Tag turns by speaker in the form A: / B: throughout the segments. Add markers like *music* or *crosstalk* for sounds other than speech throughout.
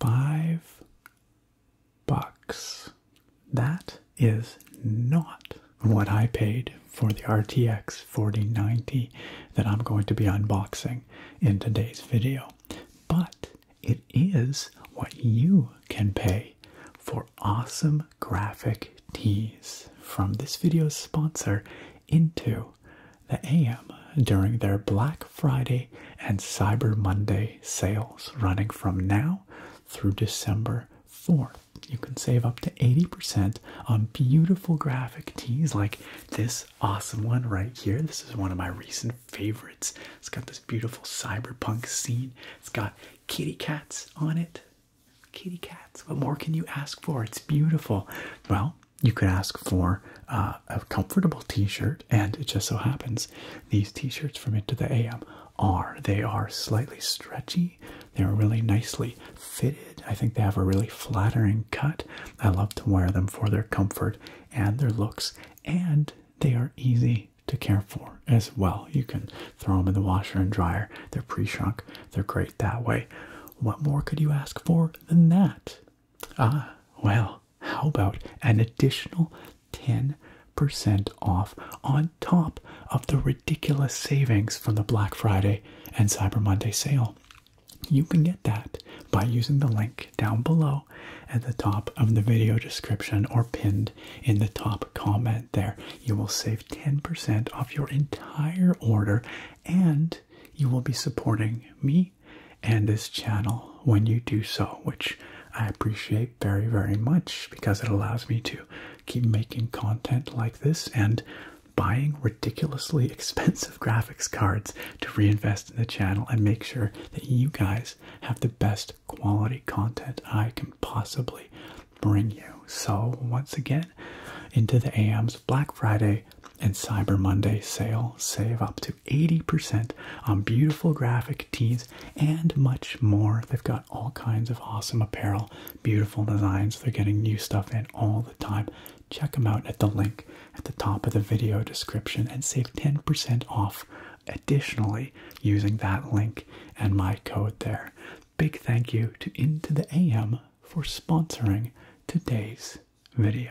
A: Five bucks. That is not what I paid for the RTX 4090 that I'm going to be unboxing in today's video, but it is what you can pay for awesome graphic teas from this video's sponsor, Into the AM during their Black Friday and Cyber Monday sales running from now through December 4th. You can save up to 80% on beautiful graphic tees like this awesome one right here. This is one of my recent favorites. It's got this beautiful cyberpunk scene. It's got kitty cats on it. Kitty cats. What more can you ask for? It's beautiful. Well, you could ask for uh, a comfortable t-shirt and it just so happens these t-shirts from into the am are they are slightly stretchy they're really nicely fitted i think they have a really flattering cut i love to wear them for their comfort and their looks and they are easy to care for as well you can throw them in the washer and dryer they're pre-shrunk they're great that way what more could you ask for than that ah well how about an additional 10% off on top of the ridiculous savings from the Black Friday and Cyber Monday sale? You can get that by using the link down below at the top of the video description or pinned in the top comment there. You will save 10% off your entire order and you will be supporting me and this channel when you do so, which I appreciate very, very much because it allows me to keep making content like this and buying ridiculously *laughs* expensive graphics cards to reinvest in the channel and make sure that you guys have the best quality content I can possibly bring you. So, once again, into the AM's Black Friday and Cyber Monday sale. Save up to 80% on beautiful graphic tees and much more. They've got all kinds of awesome apparel, beautiful designs. They're getting new stuff in all the time. Check them out at the link at the top of the video description and save 10% off additionally using that link and my code there. Big thank you to Into the AM for sponsoring today's video.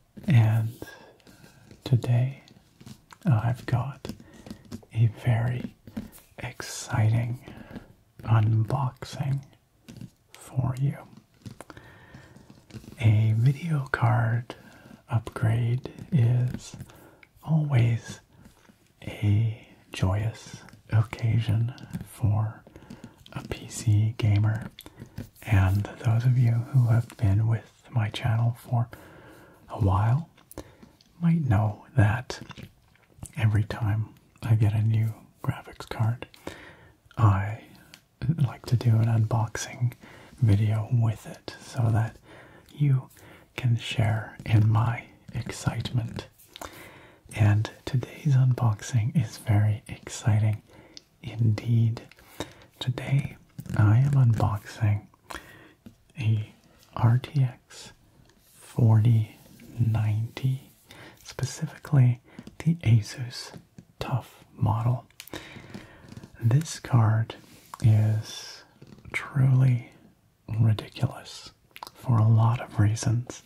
A: and today I've got a very exciting unboxing for you. A video card upgrade is always a joyous occasion for a PC gamer and those of you who have been with my channel for a while might know that every time I get a new graphics card, I like to do an unboxing video with it so that you can share in my excitement. And today's unboxing is very exciting Indeed. Today I am unboxing a RTX 4090, specifically the Asus Tough model. This card is truly ridiculous for a lot of reasons.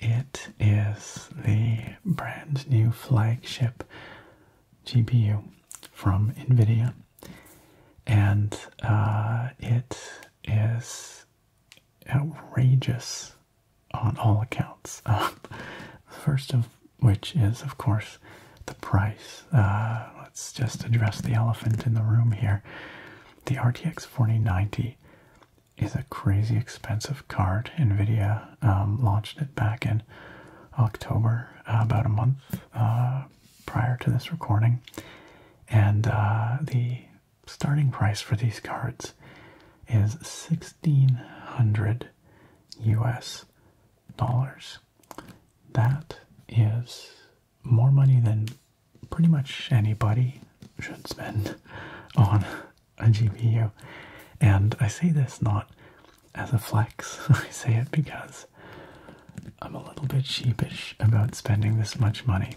A: It is the brand new flagship GPU from NVIDIA, and uh, it is outrageous on all accounts. Uh, *laughs* first of which is, of course, the price. Uh, let's just address the elephant in the room here. The RTX 4090 is a crazy expensive card. NVIDIA um, launched it back in October, uh, about a month uh, prior to this recording. And uh, the starting price for these cards is 1600 US dollars. That is more money than pretty much anybody should spend *laughs* on a GPU. And I say this not as a flex, *laughs* I say it because I'm a little bit sheepish about spending this much money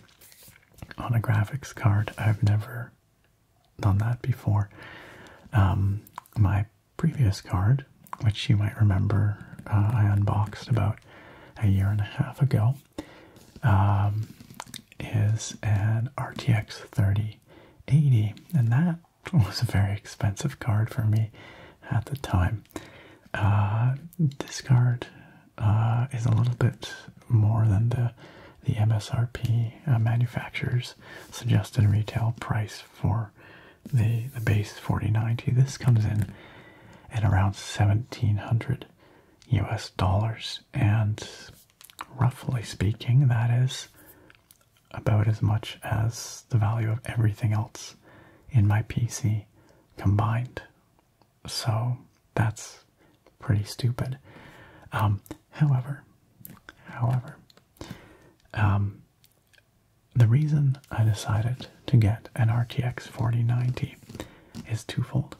A: on a graphics card. I've never done that before. Um, my previous card, which you might remember uh, I unboxed about a year and a half ago, um, is an RTX 30 80, and that was a very expensive card for me at the time. Uh, this card uh, is a little bit more than the the MSRP uh, manufacturer's suggested retail price for the the base 4090. This comes in at around 1700 US dollars and roughly speaking that is about as much as the value of everything else in my PC combined. So that's pretty stupid. Um, however, however, um, the reason I decided to get an RTX 4090 is twofold.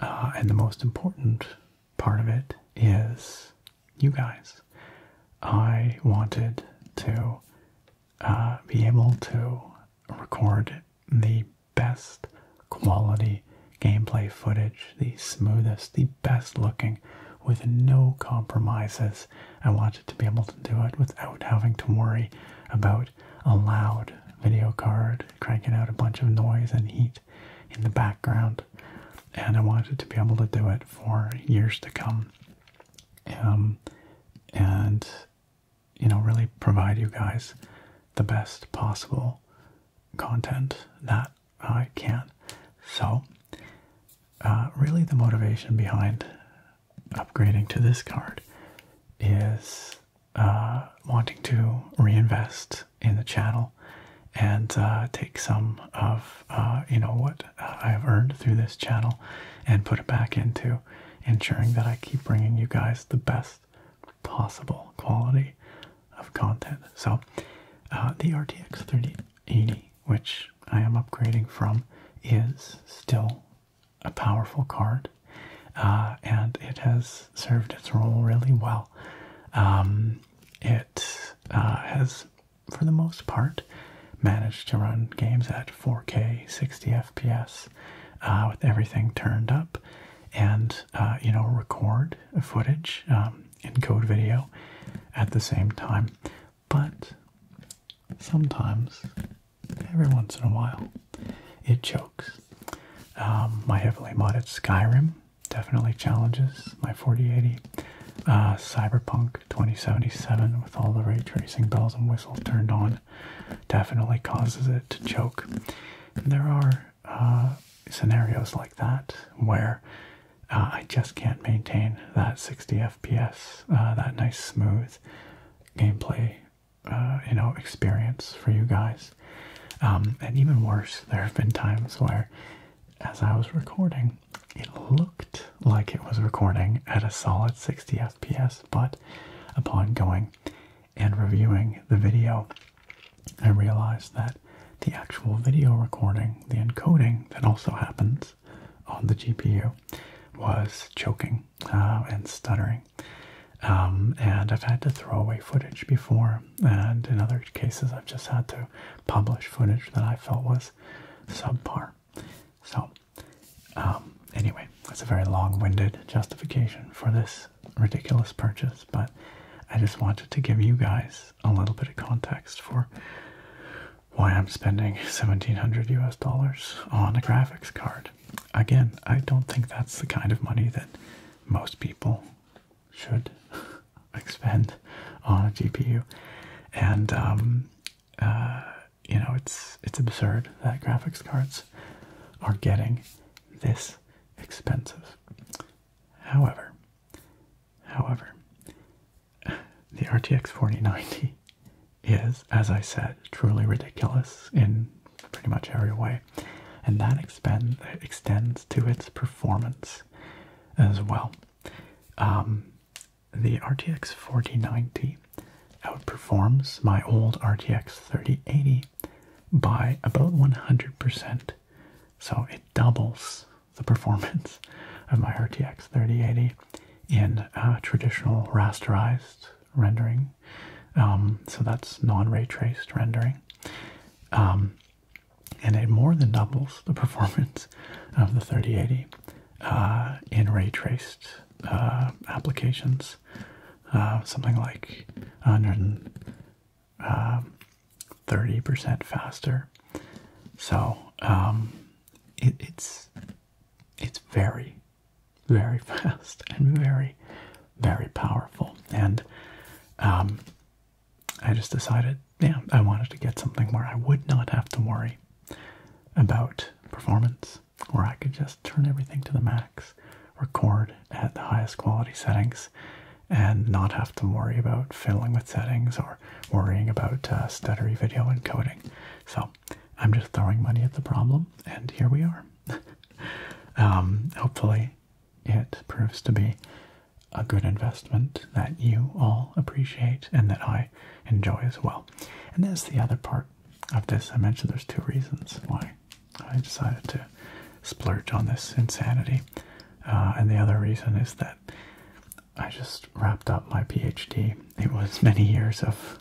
A: Uh, and the most important part of it is you guys. I wanted to uh, be able to record the best quality gameplay footage, the smoothest, the best looking, with no compromises. I wanted to be able to do it without having to worry about a loud video card cranking out a bunch of noise and heat in the background, and I wanted to be able to do it for years to come. Um, and you know, really provide you guys the best possible content that I can. So, uh, really, the motivation behind upgrading to this card is uh, wanting to reinvest in the channel and uh, take some of uh, you know what I've earned through this channel and put it back into ensuring that I keep bringing you guys the best possible quality of content. So uh, the RTX 3080, which I am upgrading from, is still a powerful card, and it has served its role really well. Um, it uh, has, for the most part, managed to run games at 4K, 60 FPS, uh, with everything turned up, and uh, you know record footage encode um, video at the same time. But sometimes, every once in a while, it chokes. Um, my heavily modded Skyrim definitely challenges my 4080. Uh, Cyberpunk 2077 with all the ray tracing bells and whistles turned on definitely causes it to choke. there are uh, scenarios like that where uh, I just can't maintain that 60 FPS, that nice smooth gameplay, you know, experience for you guys. Um, and even worse, there have been times where as I was recording, it looked like it was recording at a solid 60 FPS, but upon going and reviewing the video, I realized that the actual video recording, the encoding that also happens on the GPU, was choking uh, and stuttering. Um, and I've had to throw away footage before and in other cases, I've just had to publish footage that I felt was subpar. So, um, anyway, that's a very long winded justification for this ridiculous purchase, but I just wanted to give you guys a little bit of context for why I'm spending 1700 US dollars on a graphics card. Again, I don't think that's the kind of money that most people should *laughs* expend on a GPU, and um, uh, you know it's it's absurd that graphics cards are getting this expensive. However, however, the RTX 4090 is, as I said, truly ridiculous in pretty much every way, and that expend, extends to its performance as well. Um, the RTX 4090 outperforms my old RTX 3080 by about 100%. So it doubles the performance of my RTX 3080 in uh, traditional rasterized rendering. Um, so that's non ray traced rendering. Um, and it more than doubles the performance of the 3080 uh, in ray traced uh, applications. Uh, something like 130% faster. So um, it, it's it's very, very *laughs* fast and very, very powerful. And um, I just decided, yeah, I wanted to get something where I would not have to worry about performance, where I could just turn everything to the max, record at the highest quality settings, and not have to worry about fiddling with settings or worrying about uh, stuttery video encoding. So I'm just throwing money at the problem, and here we are. *laughs* Um, hopefully, it proves to be a good investment that you all appreciate and that I enjoy as well. And there's the other part of this. I mentioned there's two reasons why I decided to splurge on this insanity. Uh, and the other reason is that I just wrapped up my PhD. It was many years of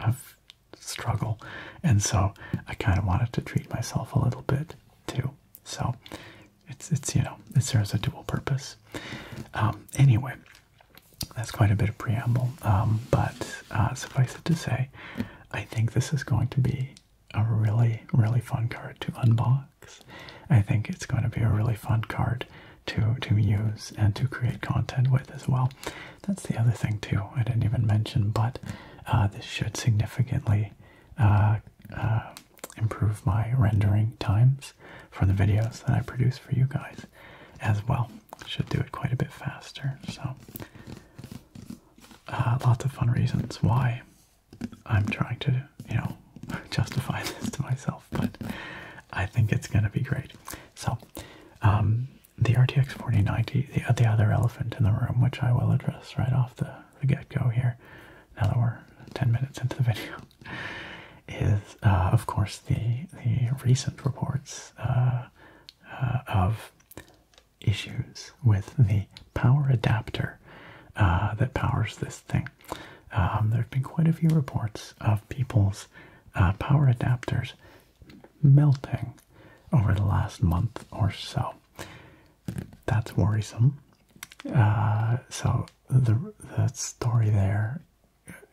A: of struggle, and so I kind of wanted to treat myself a little bit too. So it's it's you know it serves a dual purpose. Um, anyway, that's quite a bit of preamble, um, but uh, suffice it to say, I think this is going to be a really really fun card to unbox. I think it's going to be a really fun card to to use and to create content with as well. That's the other thing too. I didn't even mention, but uh, this should significantly. Uh, improve my rendering times for the videos that I produce for you guys as well. Should do it quite a bit faster. So, uh, lots of fun reasons why I'm trying to, you know, *laughs* justify *laughs* this to myself, but I think it's going to be great. So, um, the RTX 4090, the, the other elephant in the room, which I will address right off the get go here, now that we're 10 minutes into the *laughs* video, is uh, of course the the recent reports uh, uh, of issues with the power adapter that powers this thing. Um, there have been quite a few reports of people's power adapters melting over the last month or so. That's worrisome. so the the story there.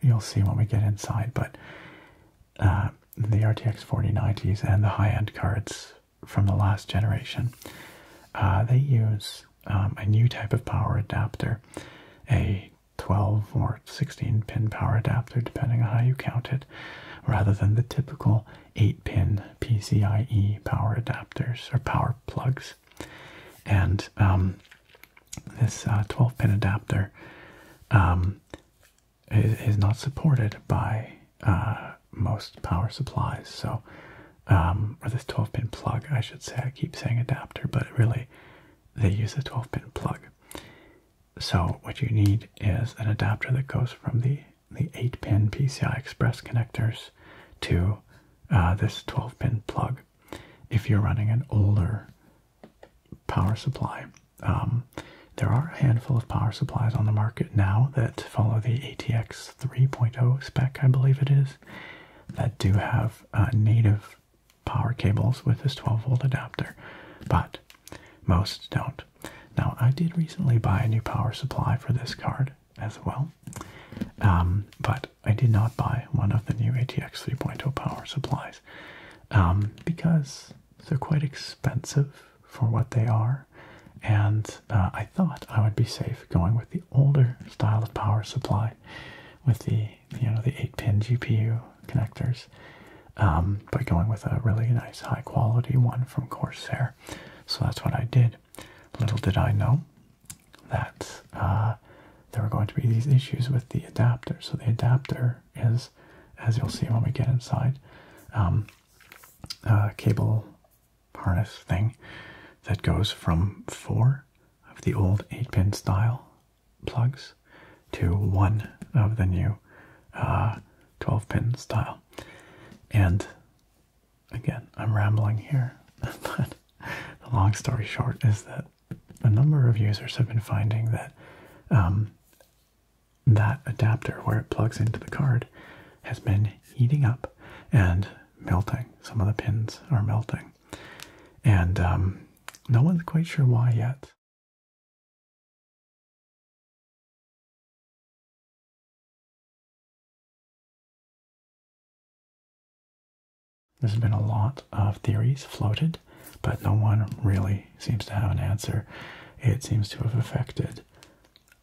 A: You'll see when we get inside, but uh, the RTX 4090s and the high-end cards from the last generation, uh, they use um, a new type of power adapter, a 12 or 16 pin power adapter, depending on how you count it, rather than the typical 8 pin PCIe power adapters or power plugs. And um, this uh, 12 pin adapter um, is, not supported by uh, most power supplies. So, um, or this 12 pin plug, I should say. I keep saying adapter, but really they use a 12 pin plug. So, what you need is an adapter that goes from the the 8 pin PCI Express connectors to uh, this 12 pin plug if you're running an older power supply. Um, there are a handful of power supplies on the market now that follow the ATX 3.0 spec, I believe it is, that do have uh, native power cables with this 12 volt adapter, but most don't. Now, I did recently buy a new power supply for this card, as well. Um, but I did not buy one of the new ATX 3.0 power supplies um, because they're quite expensive for what they are. And uh, I thought I would be safe going with the older style of power supply with the, you know, the 8-pin GPU connectors. Um, but going with a really nice high quality one from Corsair. So that's what I did. Little did I know that uh, there were going to be these issues with the adapter. So the adapter is, as you'll see when we get inside, um, a cable harness thing that goes from four of the old 8-pin style plugs to one of the new 12-pin uh, style. And again, I'm rambling here, *laughs* but the long story short is that a number of users have been finding that um, that adapter where it plugs into the card has been heating up and melting. Some of the pins are melting, and um, no one's quite sure why yet. There's been a lot of theories floated, but no one really seems to have an answer. It seems to have affected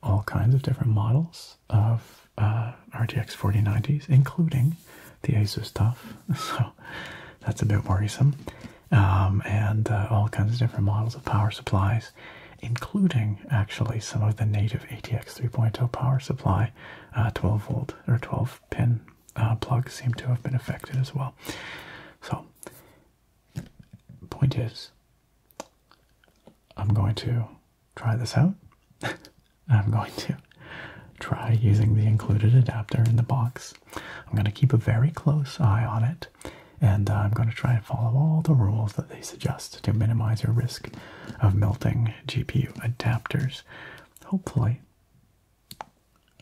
A: all kinds of different models of uh, RTX 4090s, including the Asus TUF. *laughs* So that's a bit worrisome. Um, and uh, all kinds of different models of power supplies, including actually some of the native ATX 3.0 power supply a uh, 12 volt or 12 pin uh, plug seem to have been affected as well. So, point is, I'm going to try this out. *laughs* I'm going to try using the included adapter in the box. I'm going to keep a very close eye on it and uh, I'm going to try and follow all the rules that they suggest to minimize your risk of melting GPU adapters. Hopefully,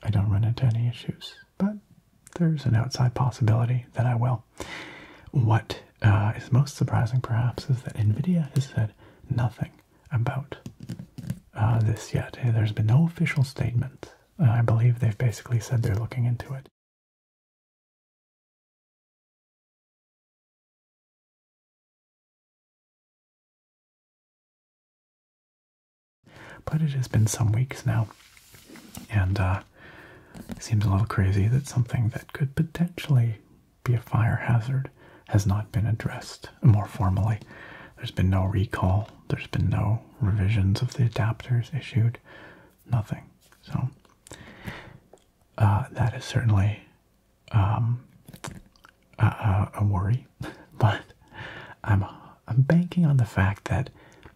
A: I don't run into any issues, but there's an outside possibility that I will. What uh, is most surprising, perhaps, is that NVIDIA has said nothing about uh, this yet. There's been no official statement. I believe they've basically said they're looking into it. But it has been some weeks now, and uh, seems a little crazy that something that could potentially be a fire hazard has not been addressed more formally. There's been no recall, there's been no revisions of the adapters issued, nothing. So, uh, that is certainly um, uh, uh, a, worry, *laughs* but I'm I'm banking on the fact that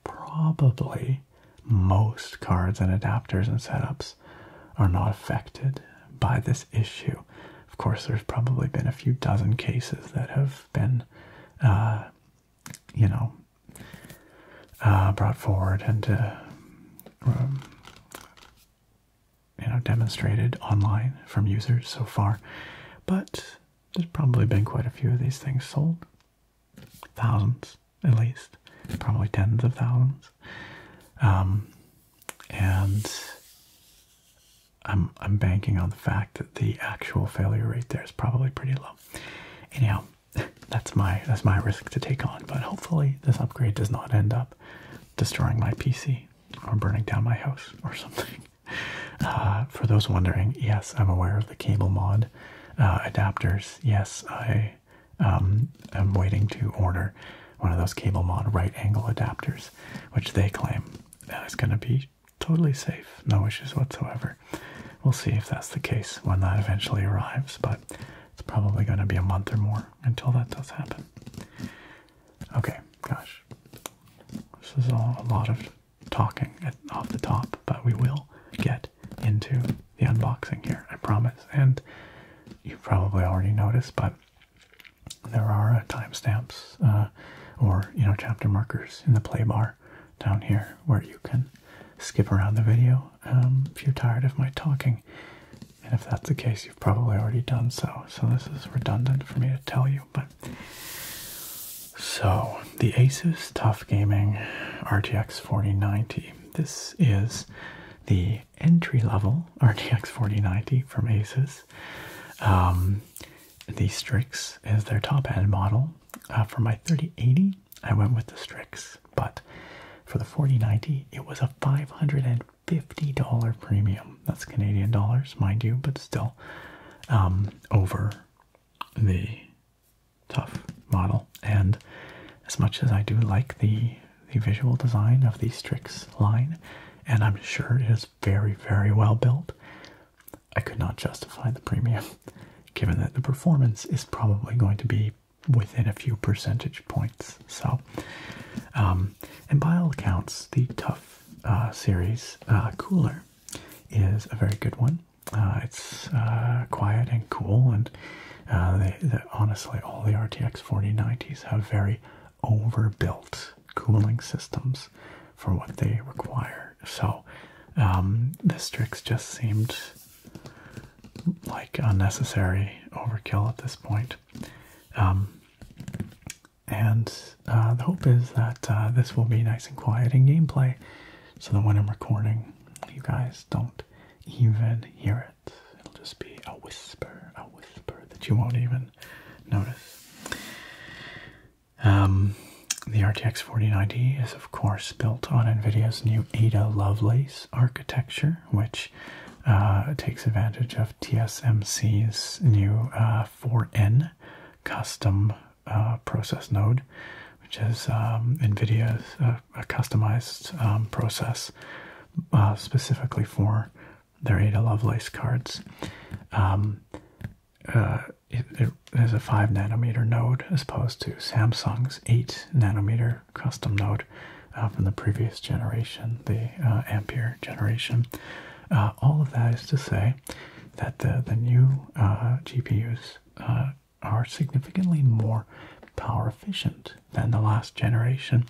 A: probably most cards and adapters and setups are not affected by this issue. Of course, there's probably been a few dozen cases that have been, uh, you know, brought forward and um, you know demonstrated online from users so far, but there's probably been quite a few of these things sold. Thousands, at least, probably tens of thousands. Um, and I'm I'm banking on the fact that the actual failure rate there is probably pretty low. Anyhow, *laughs* that's my that's my risk to take on. But hopefully this upgrade does not end up destroying my PC or burning down my house or something. *laughs* Uh, for those wondering, yes, I'm aware of the cable mod uh, adapters. Yes, I um, am waiting to order one of those cable mod right angle adapters, which they claim is going to be totally safe, no issues whatsoever. We'll see if that's the case when that eventually arrives, but it's probably going to be a month or more until that does happen. Okay, gosh. This is all a lot of talking off the top, but we will get into the unboxing here, I promise. And you probably already noticed, but there are timestamps uh, or, you know, chapter markers in the play bar down here where you can skip around the video um, if you're tired of my talking. And if that's the case, you've probably already done so. So this is redundant for me to tell you, but so the Asus Tough Gaming RTX 4090. This is the entry level *laughs* RTX 4090 from Asus. Um, the Strix is their top end model. Uh, for my 3080, I went with the Strix, but for the 4090, it was a $550 $50 premium. That's Canadian dollars, mind you, but still um, over the tough model. And as much as I do like the the visual design of the Strix line, and I'm sure it is very, very well built, I could not justify the premium, *laughs* given that the performance is probably going to be within a few percentage points. So, um, and by all accounts, the Tough uh, series uh, cooler is a very good one. Uh, it's quiet and cool, and honestly, all the RTX 4090s have very overbuilt cooling systems for what they require. So um, this Strix just seemed like unnecessary overkill at this point. Um, and uh, the hope is that uh, this will be nice and quiet in gameplay so that when I'm recording, you guys don't even hear it. It'll just be a whisper, a whisper that you won't even notice. Um, the RTX 4090 is, of course, built on NVIDIA's new Ada Lovelace architecture, which uh, takes advantage of TSMC's new 4N uh, custom uh, process node, which is um, NVIDIA's customized um, process specifically for their Ada Lovelace cards. Um, it is a 5 nanometer node as opposed to Samsung's 8 nanometer custom node, uh, from the previous generation, the uh, Ampere generation. Uh, all of that is to say that the, the new GPUs are significantly more power efficient than the last generation.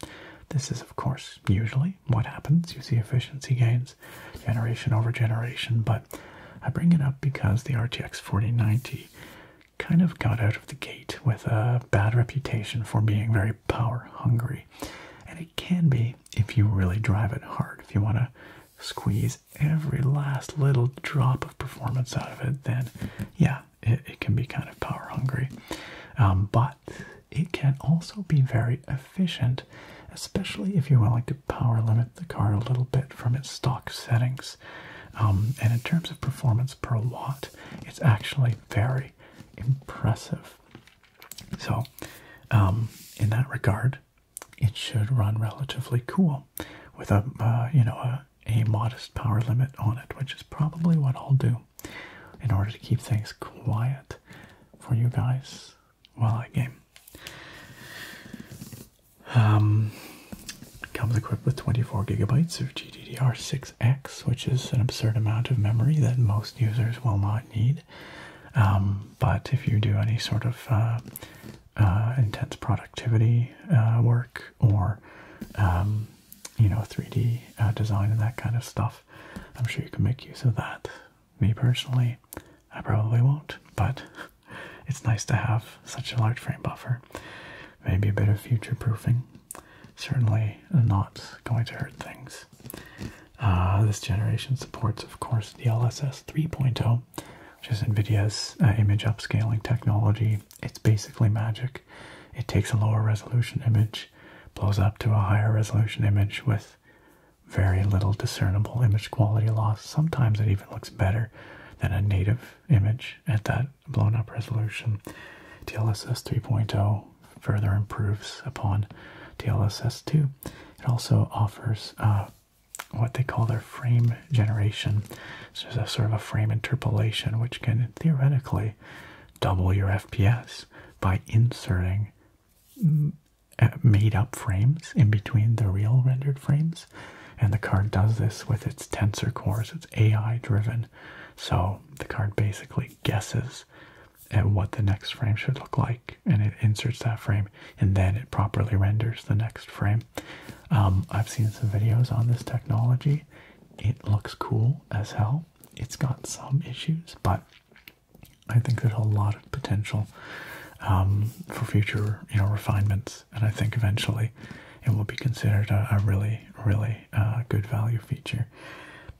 A: This is, of course, usually what happens. You see efficiency gains generation over generation, but I bring it up because the RTX 4090 kind of got out of the gate with a bad reputation for being very power hungry and it can be if you really drive it hard. If you want to squeeze every last little drop of performance out of it, then yeah, it, can be kind of power hungry. Um, but it can also be very efficient, especially if you're willing to power limit the car a little bit from its stock settings. Um, and in terms of performance per watt, it's actually very impressive. So, um, in that regard, it should run relatively cool with a, uh, you know, a, modest power limit on it, which is probably what I'll do in order to keep things quiet for you guys while I game. Um, comes equipped with 24 gigabytes of GDDR6X, which is an absurd amount of memory that most users will not need. Um, but if you do any sort of uh, uh, intense productivity uh, work or um, you know 3D design and that kind of stuff, I'm sure you can make use of that. Me personally, I probably won't, but *laughs* it's nice to have such a large frame buffer. Maybe a bit of future proofing certainly not going to hurt things. Uh, this generation supports, of course, DLSS 3.0, which is NVIDIA's uh, image upscaling technology. It's basically magic. It takes a lower resolution image, blows up to a higher resolution image with very little discernible image quality loss. Sometimes it even looks better than a native image at that blown up resolution. DLSS 3.0 further improves upon DLSS2. It also offers uh, what they call their frame generation. which is a sort of a frame interpolation, which can theoretically double your FPS by inserting uh, made up frames in between the real rendered frames. And the card does this with its tensor cores, it's AI driven. So the card basically guesses and what the next frame should look like, and it inserts that frame, and then it properly renders the next frame. Um, I've seen some videos on this technology. It looks cool as hell. It's got some issues, but I think there's a lot of potential um, for future, you know, refinements, and I think eventually it will be considered a, really, really uh, good value feature.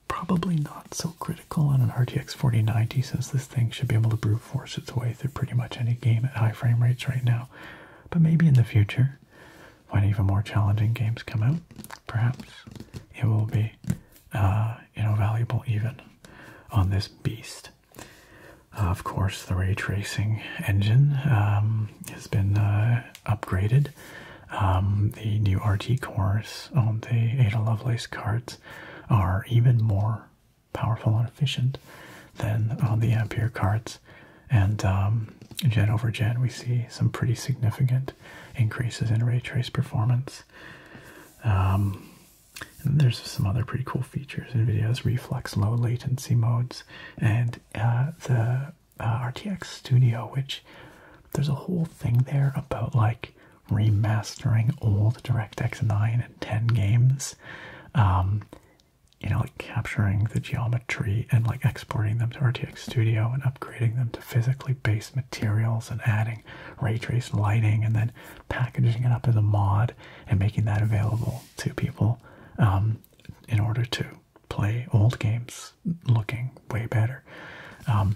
A: Probably not so critical on an RTX 4090 since this thing should be able to brute force its way through pretty much any game at high frame rates right now. But maybe in the future, when even more challenging games come out, perhaps it will be uh, you know valuable even on this beast. Uh, of course, the ray tracing engine um, has been uh, upgraded um, the new RT cores on um, the Ada Lovelace cards are even more powerful and efficient than on uh, the Ampere cards. And um, gen over gen, we see some pretty significant increases in ray trace performance. and there's some other pretty cool features. in videos: reflex low latency modes and uh, the uh, RTX Studio, which there's a whole thing there about like remastering old DirectX 9 and 10 games. Um, you know, like capturing the geometry and like exporting them to RTX Studio and upgrading them to physically based materials and adding ray trace lighting and then packaging it up as a mod and making that available to people um, in order to play old games looking way better. Um,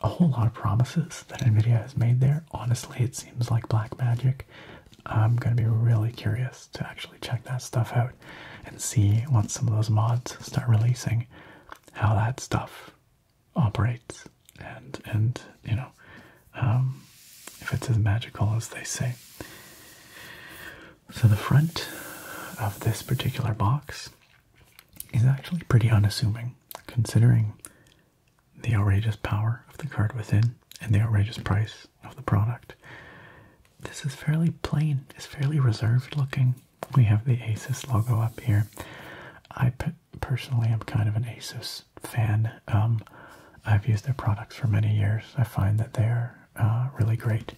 A: a whole lot of promises that NVIDIA has made there. Honestly, it seems like black magic. I'm going to be really curious to actually check that stuff out and see once some of those mods start releasing how that stuff operates and, and you know, um, if it's as magical as they say. So, the front of this particular box is actually pretty unassuming, considering the outrageous power of the card within and the outrageous price of the product. This is fairly plain, it's fairly reserved looking. We have the Asus logo up here. I pe personally am kind of an Asus fan. Um, I've used their products for many years. I find that they're uh, really great.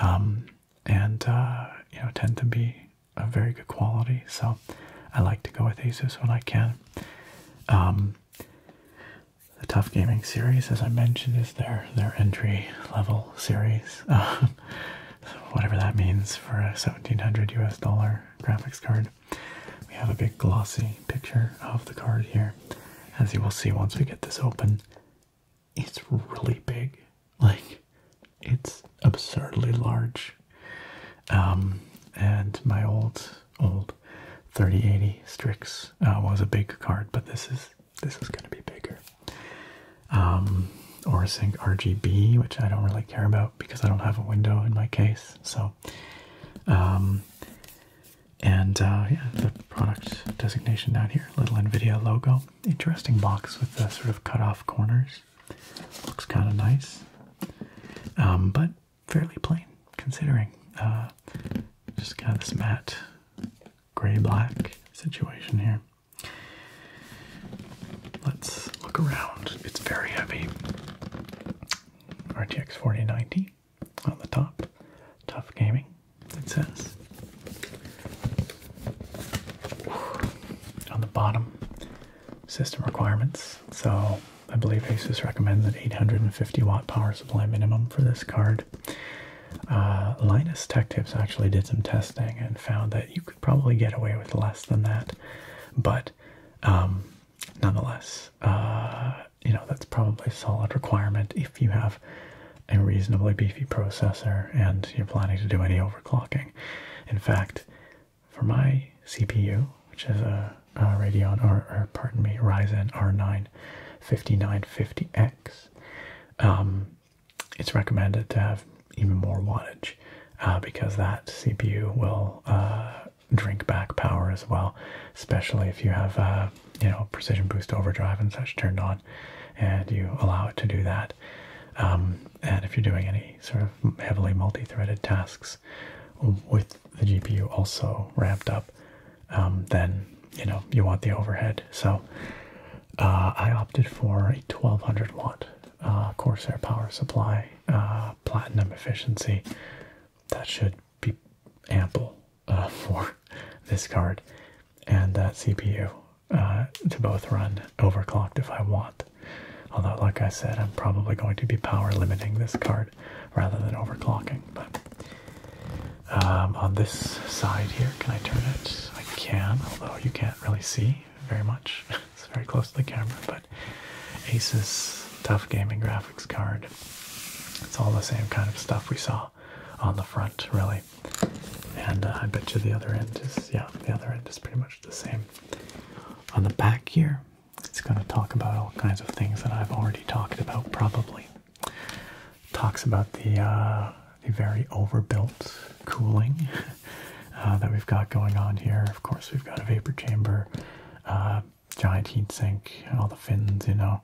A: Um, and uh, you know tend to be a very good quality. So I like to go with Asus when I can. Um, the Tough Gaming series, as I mentioned, is their their entry level series, *laughs* whatever that means for a seventeen hundred US dollar graphics card. We have a big glossy picture of the card here, as you will see once we get this open it's really big. Like, it's absurdly large. Um, and my old, old 3080 Strix uh, was a big card, but this is this is going to be bigger. Um, or Sync RGB, which I don't really care about because I don't have a window in my case. So, um, and uh, yeah, the product designation down here, little NVIDIA logo. Interesting box with the sort of cut off corners. Looks kind of nice, um, but fairly plain considering. Uh, just kind of this matte gray black situation here. Let's look around. It's very heavy. RTX 4090 on the top. Tough gaming, it says on the bottom system requirements. So I believe Asus recommends an 850 watt power supply minimum for this card. Uh, Linus Tech Tips actually did some testing and found that you could probably get away with less than that, but um, nonetheless, uh, you know that's probably a solid requirement if you have a reasonably beefy processor and you're planning to do any overclocking. *laughs* In fact, for my CPU, which is a, Radeon, or, pardon me, Ryzen R9 5950X, um, it's recommended to have even more wattage uh, because that CPU will uh, drink back power as well, especially if you have uh, you know precision boost overdrive and such turned on, and you allow it to do that. Um, and if you're doing any sort of heavily multi-threaded tasks with the GPU also ramped up, um, then you know you want the overhead. So uh, I opted for a 1200 watt uh, Corsair power supply, uh, platinum efficiency. That should be ample *laughs* for this card and that CPU. Uh, to both run overclocked if I want. Although, like I said, I'm probably going to be power limiting this card rather than overclocking. But um, on this side here, can I turn it? I can, although you can't really see very much. *laughs* it's very close to the camera, but Asus Tough Gaming Graphics card. It's all the same kind of stuff we saw on the front, really. And uh, I bet you the other end is, yeah, the other end is pretty much the same. On the back here, it's going to talk about all kinds of things that I've already talked about, probably. Talks about the, uh, the very overbuilt cooling *laughs* uh, that we've got going on here. Of course, we've got a vapor chamber, uh, giant heat sink, all the fins, you know,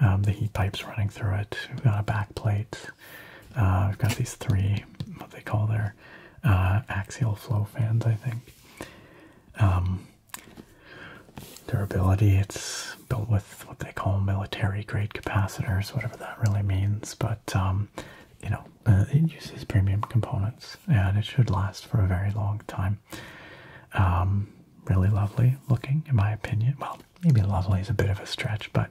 A: um, the heat pipes running through it. We've got a back plate. we've got these three, what they call there. Uh, axial flow fans, I think. Um, durability, it's built with what they call military grade capacitors, whatever that really means, but um, you know, uh, it uses premium components and it should last for a very long time. Um, really lovely looking, in my opinion. Well, maybe lovely is a bit of a stretch, but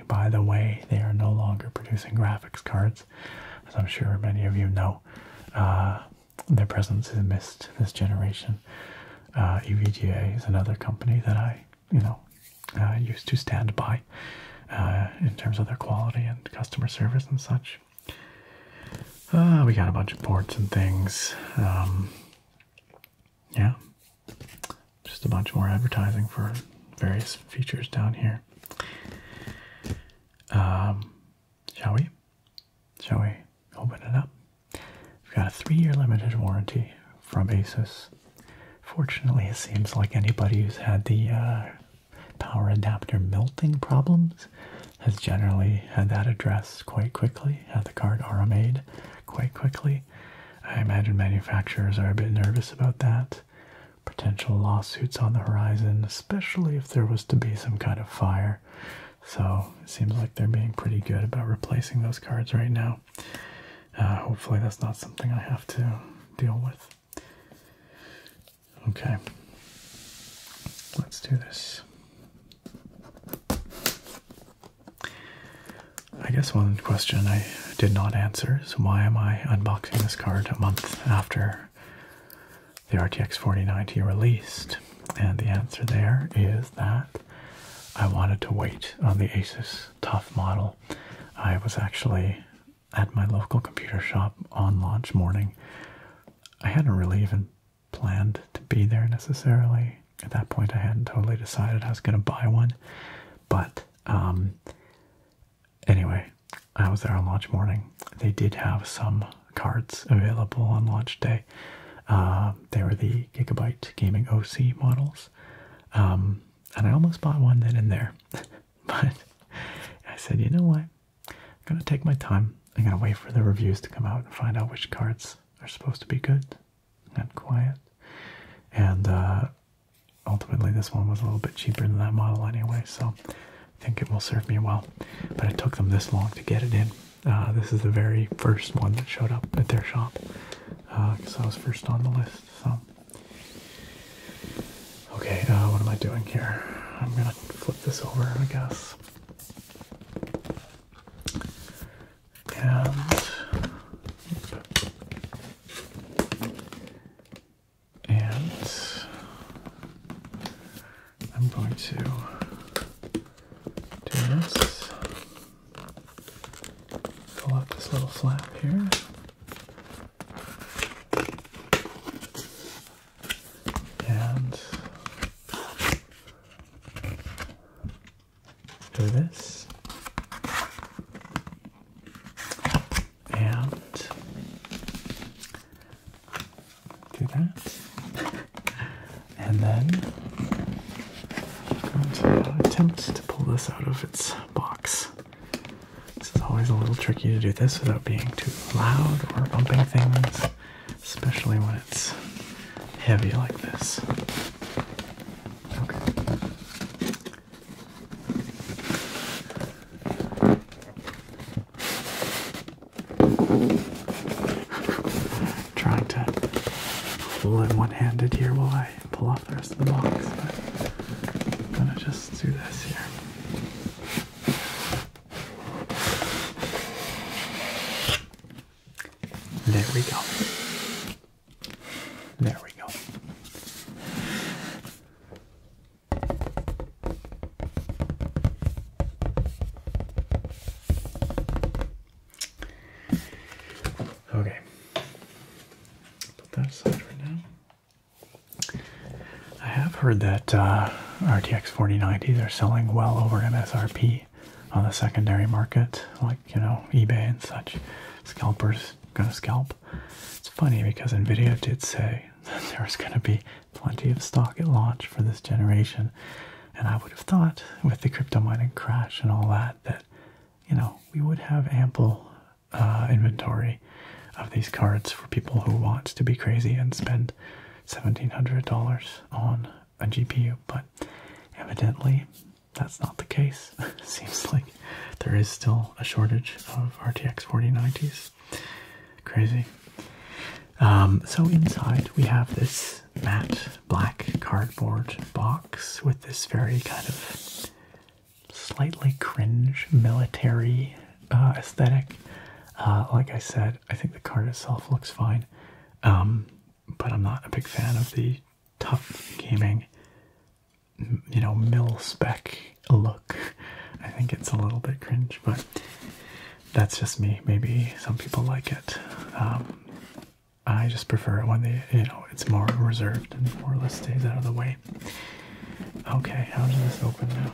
A: by the way, they are no longer producing graphics cards, as I'm sure many of you know. Uh, their presence is missed this generation. EVGA uh, is another company that I, you know, uh, used to stand by in terms of their quality and customer service and such. we got a bunch of ports and things. Um, yeah, just a bunch more advertising for various features down here. Um, shall we? Shall we open it up? We've got a three-year limited warranty from Asus. Fortunately, it seems like anybody who's had the uh, power adapter melting problems has generally had that addressed quite quickly, had the card rma quite quickly. I imagine manufacturers are a bit nervous about that potential lawsuits on the horizon, especially if there was to be some kind of fire. So it seems like they're being pretty good about replacing those cards right now. Uh, hopefully, that's not something I have to deal with. Okay, let's do this. I guess one question I did not answer, so why am I unboxing this card a month after the RTX 4090 released? And the answer there is that I wanted to wait on the Asus Tough model. I was actually at my local computer shop on launch morning. I hadn't really even planned to be there necessarily. At that point, I hadn't totally decided I was going to buy one, but um, Anyway, I was there on launch morning. They did have some cards available on launch day. Uh, they were the Gigabyte Gaming OC models. Um, and I almost bought one then and there. *laughs* but I said, you know what? I'm going to take my time. I'm going to wait for the reviews to come out and find out which cards are supposed to be good and quiet. And uh, ultimately this one was a little bit cheaper than that model anyway, so I think it will serve me well. But it took them this long to get it in. Uh, this is the very first one that showed up at their shop because uh, I was first on the list. So, okay, uh, what am I doing here? I'm gonna flip this over, I guess. And and I'm going to do this. Pull up this little flap here. And do this and do that. and then going to uh, attempt to pull this out of its box. This is always a little tricky to do this without being too loud or bumping things, especially when it's heavy like this. Okay. Trying to pull it one-handed here while I pull off the rest of the box, but I'm gonna just do this here. There we go. There we go. Okay, put that aside right now. I have heard that uh, RTX 4090s are selling well over MSRP on the secondary market, like you know eBay and such. Scalpers gonna scalp. It's funny because Nvidia did say *laughs* that there was gonna be plenty of stock at launch for this generation, and I would have thought with the crypto mining crash and all that that you know we would have ample uh, inventory of these cards for people who want to be crazy and spend seventeen hundred dollars on a GPU, but evidently that's not the case. *laughs* Seems like there is still a shortage of RTX 4090s. Crazy. Um, so inside we have this matte black cardboard box with this very kind of slightly cringe military uh, aesthetic. Uh, like I said, I think the card itself looks fine, um, but I'm not a big fan of the tough gaming you know, mill spec look. I think it's a little bit cringe, but that's just me. Maybe some people like it. Um, I just prefer it when they, you know, it's more reserved and more or less stays out of the way. Okay, how does this open now?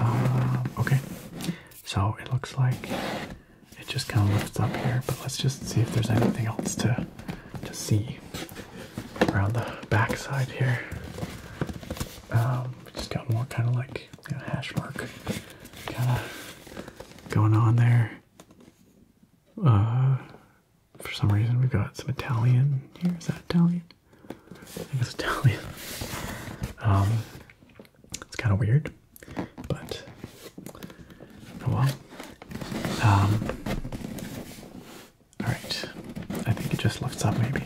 A: Um, okay, so it looks like it just kind of lifts up here, but let's just see if there's anything else to to see around the back side here. Um, we just got more kind of like you hash mark kind of going on there. Uh, for some reason, we've got some Italian here. Is that Italian? I think it's Italian. Um, it's kind of weird, but oh well. Um, Alright, I think it just lifts up maybe.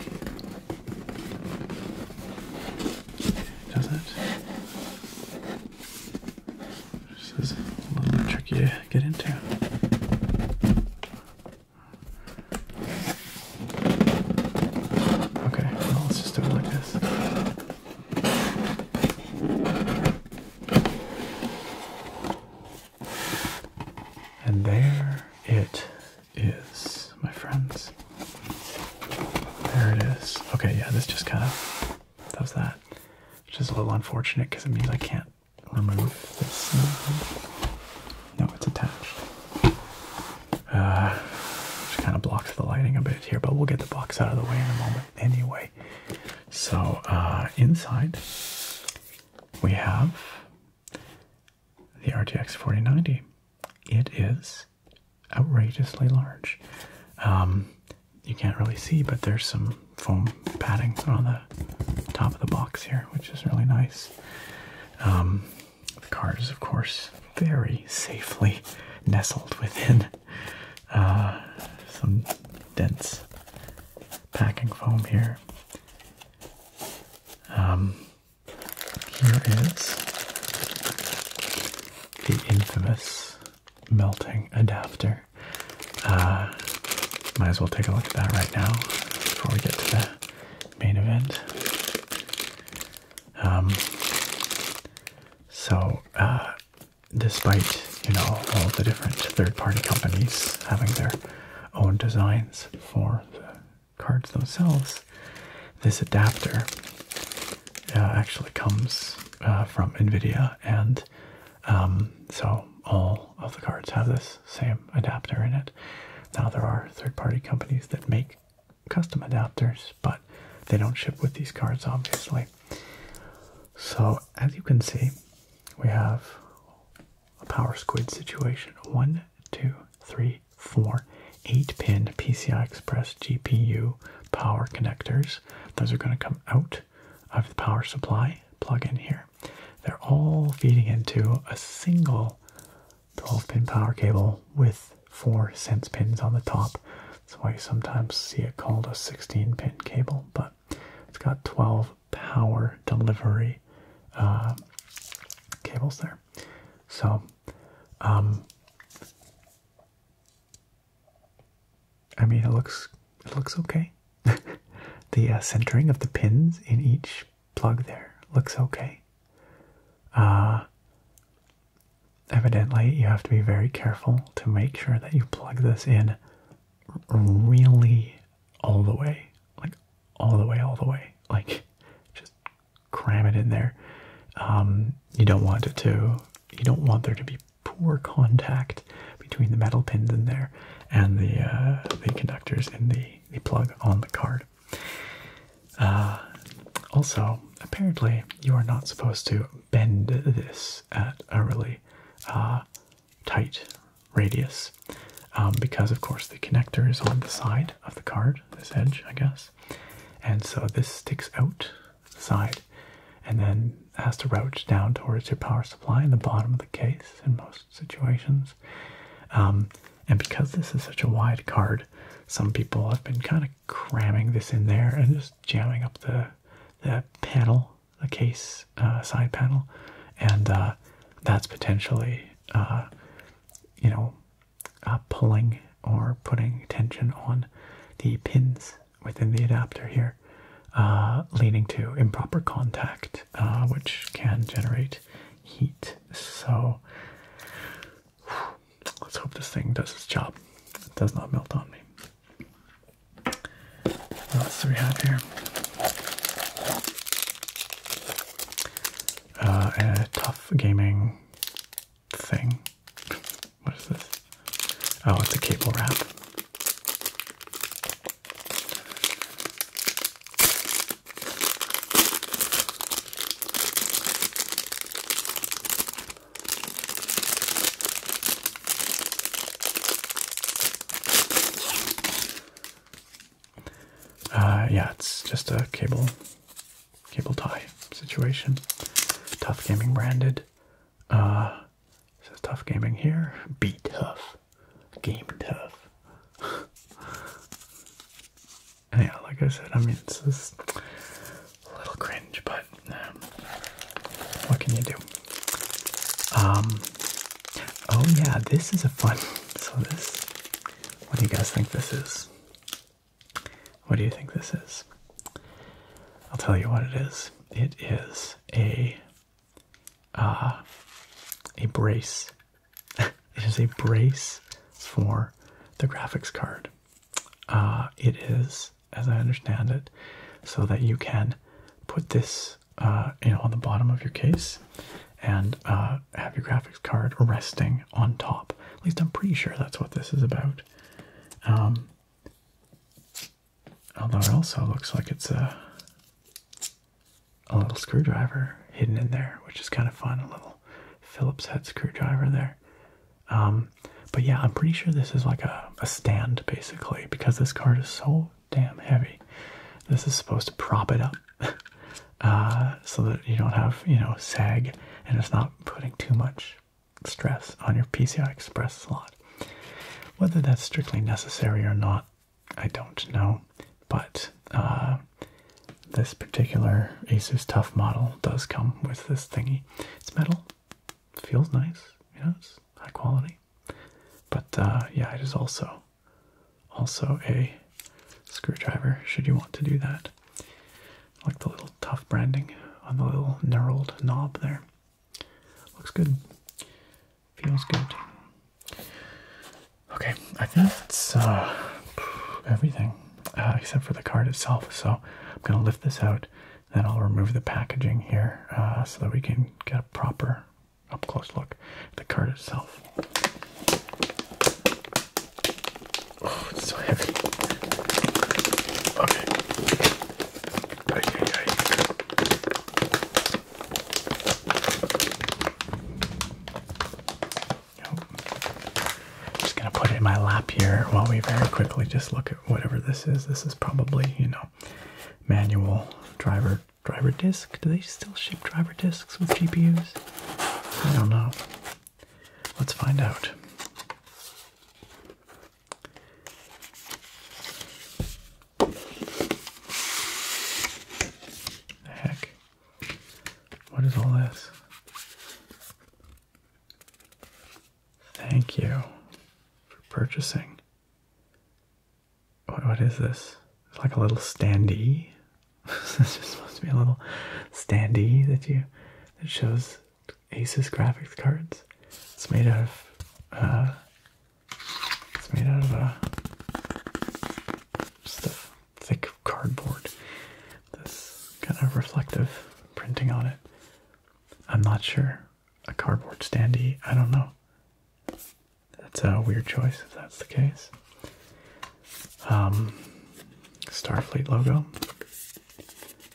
A: Does it? This is a little bit tricky to get into. Okay, let's just do it like this. And there it is, my friends. There it is. Okay, yeah, this just kind of does that. Which is a little unfortunate because it means I can't remove this. No, it's attached. Uh, which kind of blocks the lighting a bit here, but we'll get the box out of the way in a moment anyway. So, uh, inside we have the RTX 4090. It is outrageously large. Um, you can't really see, but there's some foam padding on the top of the box here, which is really nice. Um, the card is, of course, very safely nestled within uh, some dense packing foam here. Um, here is the infamous melting adapter. Uh, might as well take a look at that right now before we get to the main event. Um, so, uh, despite you know all the different third-party companies having their own designs for the cards themselves. This adapter uh, actually comes uh, from NVIDIA, and um, so all of the cards have this same adapter in it. Now, there are third party companies that make custom adapters, but they don't ship with these cards, obviously. So, as you can see, we have a power squid situation. One, two, three, four, eight pin PCI Express GPU power connectors. Those are going to come out of the power supply, plug in here. They're all feeding into a single 12 pin power cable with four sense pins on the top. That's why you sometimes see it called a 16 pin cable, but it's got 12 power delivery uh, cables there. So, um, I mean, it looks it looks okay. *laughs* the uh, centering of the pins in each plug there looks okay. Uh, evidently, you have to be very careful to make sure that you plug this in really all the way, like all the way, all the way, like just cram it in there. Um, you don't want it to, you don't want there to be poor contact between the metal pins in there and the uh, the conductors in the the plug on the card. Uh, also, apparently, you are not supposed to bend this at a really uh, tight radius um, because, of course, the connector is on the side of the card, this edge, I guess. And so this sticks out the side and then has to route down towards your power supply in the bottom of the case in most situations. Um, and because this is such a wide card, some people have been kind of cramming this in there and just jamming up the, the panel the case uh, side panel, and uh, that's potentially uh, you know pulling or putting tension on the pins within the adapter here, leading to improper contact, which can generate heat. So let's hope this thing does its job. It does not melt on me. What else do we have here? Uh, a tough gaming thing. What is this? Oh, it's a cable wrap. Uh, yeah, it's just a cable cable tie situation. Tough Gaming branded. Uh, says Tough Gaming here. Be tough. Game tough. *laughs* yeah, like I said, I mean, it's just a little cringe, but um, what can you do? Um, oh yeah, this is a fun. So this, what do you guys think this is? What do you think this is? I'll tell you what it is. It is a, uh, a brace. *laughs* it is a brace for the graphics card. Uh, it is, as I understand it, so that you can put this uh, you know, on the bottom of your case, and uh, have your graphics card resting on top. At least I'm pretty sure that's what this is about. Um, although also looks like it's a a little screwdriver hidden in there, which is kind of fun. A little Phillips head screwdriver there. Um, but yeah, I'm pretty sure this is like a, a stand basically because this card is so damn heavy. This is supposed to prop it up *laughs* uh, so that you don't have, you know, sag and it's not putting too much stress on your PCI Express slot. Whether that's strictly necessary or not, I don't know, but uh, this particular Asus Tough model does come with this thingy. It's metal, feels nice, you know, it's high quality. But uh, yeah, it is also also a screwdriver should you want to do that. like the little tough branding on the little knurled knob there. Looks good. Feels good. Okay, I think that's uh, everything uh, except for the card itself. So I'm going to lift this out, then I'll remove the packaging here uh, so that we can get a proper up close look at the card itself. Oh, it's so heavy. Okay. Aye, aye, aye. Yep. Just gonna put it in my lap here while we very quickly just look at whatever this is. This is probably, you know, manual driver driver disk. Do they still ship driver disks with GPUs? I don't know. Let's find out. heck? What is all this? Thank you for purchasing. What, what is this? It's like a little standee. this *laughs* is supposed to be a little standee that you that shows Asus graphics cards. It's made of uh, it's made out of a uh, stuff thick cardboard. This kind of reflective printing on it. I'm not sure. A cardboard standee. I don't know. That's a weird choice if that's the case. Um, Starfleet logo.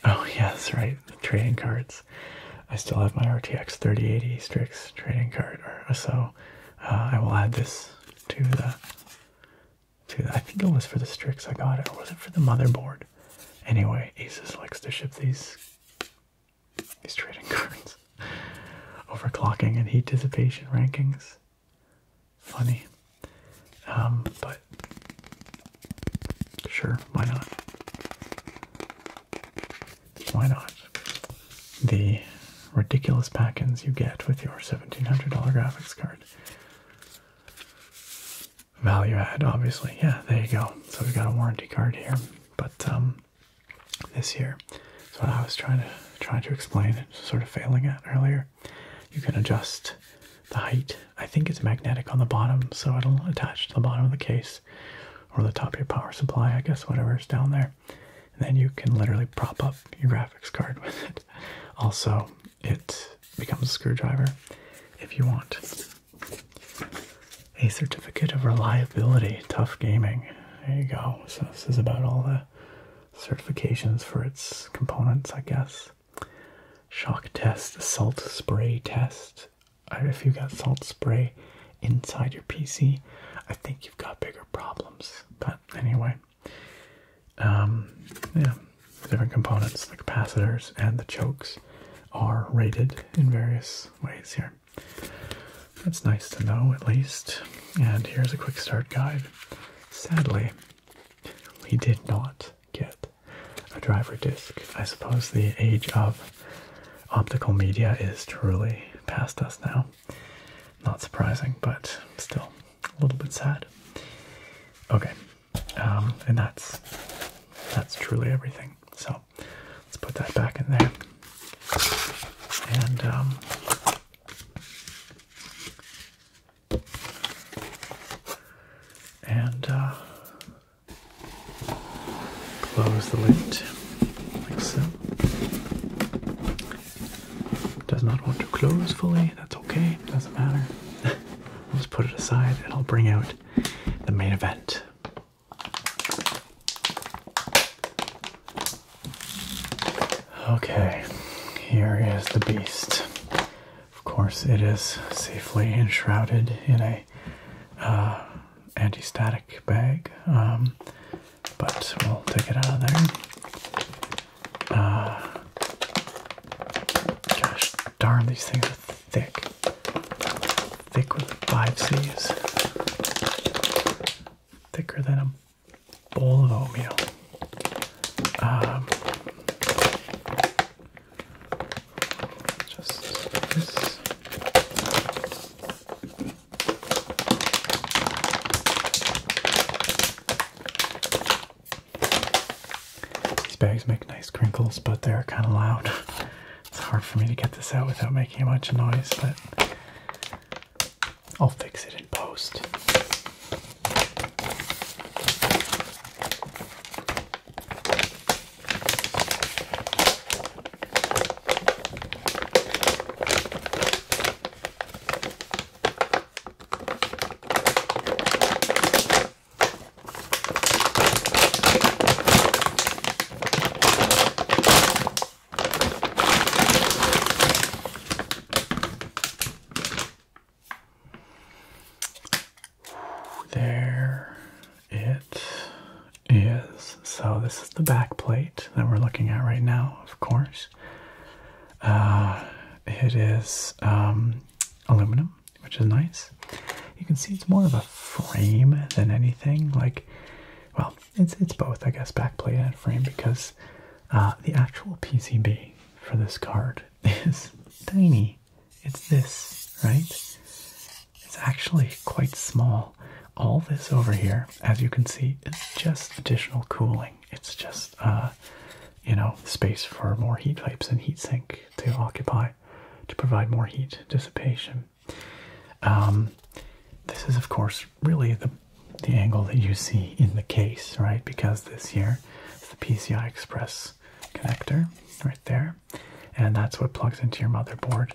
A: Oh, *laughs* yes, right. Trading cards. I still have my RTX 3080 Strix trading card, or uh, so uh, I will add this to the, to I think it was for the Strix I got it, was it for the motherboard? Anyway, Asus likes to ship these He's trading cards. *laughs* Overclocking and heat dissipation rankings. Funny. Um, but sure, why not? Why not? The ridiculous packins you get with your $1,700 graphics card. Value add, obviously. Yeah, there you go. So we've got a warranty card here. But um, this year. So I was trying to trying to explain and sort of failing at earlier, you can adjust the height. I think it's magnetic on the bottom, so it'll attach to the bottom of the case or the top of your power supply, I guess, whatever is down there. then you can literally prop up your graphics card *laughs* with it. Also, it becomes a screwdriver if you want. A certificate of reliability, tough gaming there you go. So this is about all the certifications for its components, I guess. Shock test, salt spray test. If you got salt spray inside your PC, I think you've got bigger problems. But anyway, um, yeah, different components, the capacitors and the chokes, are rated in various ways here. That's nice to know, at least. And here's a quick start guide. Sadly, we did not get a driver disc. I suppose the age of optical media is truly past us now. Not surprising, but still a little bit sad. Okay, um, and that's that's truly everything. So let's put that back in there and um, and uh, close the lid like so. Does not want to close fully. That's okay. Doesn't matter. Let's *laughs* put it aside, and I'll bring out the main event. Okay, here is the beast. Of course, it is safely enshrouded in a uh, anti-static bag, um, but we'll take it out of there. Uh, gosh darn, these things are thick, thick with five C's, thicker than a bowl of oatmeal. just These bags make nice crinkles, but they're kind of loud. it's hard for me to get this out without making a bunch of noise, but I'll fix it in post. There it is. So, this is the back plate that we're looking at right now, of course. Uh, it is um, aluminum, which is nice. You can see it's more of a frame than anything. Like, well, it's it's both, I guess, backplate and frame because uh, the actual PCB for this card *laughs* is tiny. It's this, right? It's actually quite small. All this over here, as you can see, is just additional cooling. It's just, uh, you know, space for more heat pipes and heat sink to occupy to provide more heat dissipation. Um, this is, of course, really the the angle that you see in the case, right? Because this here is the PCI Express connector right there, and that's what plugs into your motherboard,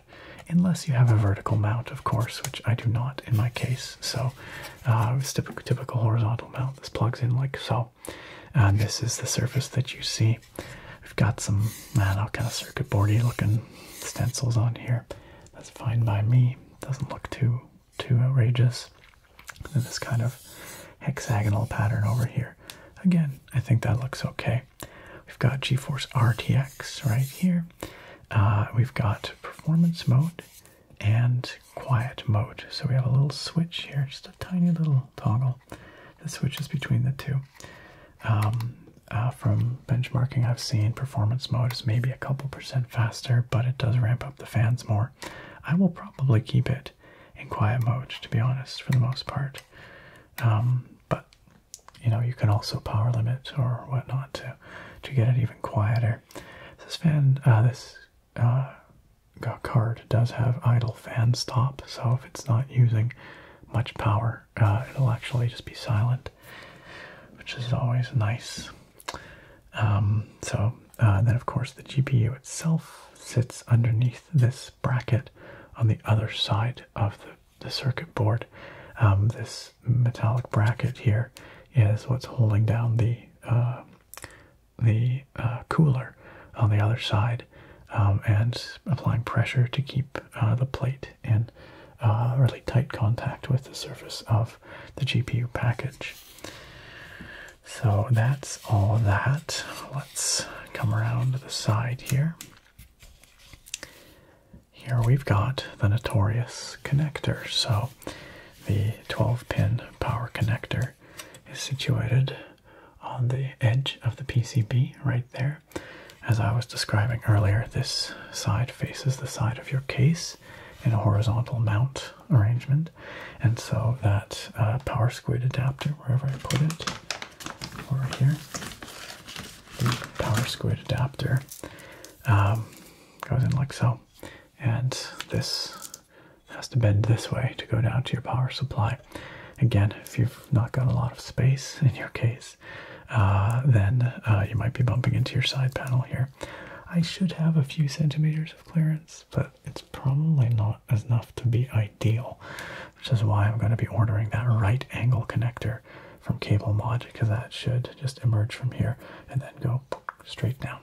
A: unless you have a vertical mount, of course, which I do not in my case. So uh, it's typical, typical horizontal mount. This plugs in like so, and this is the surface that you see. We've got some, kind of circuit boardy looking stencils on here. That's fine by me doesn't look too too outrageous. this kind of hexagonal pattern over here. Again, I think that looks okay. We've got GeForce RTX right here. Uh, we've got performance mode and quiet mode. So we have a little switch here, just a tiny little toggle that switches between the two. Um, uh, from benchmarking I've seen, performance mode is maybe a couple percent faster, but it does ramp up the fans more. I will probably keep it in quiet mode, to be honest, for the most part. Um, but you know, you can also power limit or whatnot to to get it even quieter. This fan, uh, this uh, card does have idle fan stop, so if it's not using much power, uh, it'll actually just be silent, which is always nice. Um, so uh, then, of course, the GPU itself sits underneath this bracket on the other side of the, circuit board. Um, this metallic bracket here is what's holding down the uh, the uh, cooler on the other side um, and applying pressure to keep the plate in really tight contact with the surface of the GPU package. So that's all that. Let's come around to the side here. Here we've got the Notorious connector. So the 12 pin power connector is situated on the edge of the PCB right there. As I was describing earlier, this side faces the side of your case in a horizontal mount arrangement, and so that uh, power squid adapter, wherever I put it, over here, the power squid adapter um, goes in like so, and this has to bend this way to go down to your power supply. Again, if you've not got a lot of space in your case, uh, then uh, you might be bumping into your side panel here. I should have a few centimeters of clearance, but it's probably not enough to be ideal, which is why I'm going to be ordering that right angle connector from Cable Mod because that should just emerge from here and then go straight down.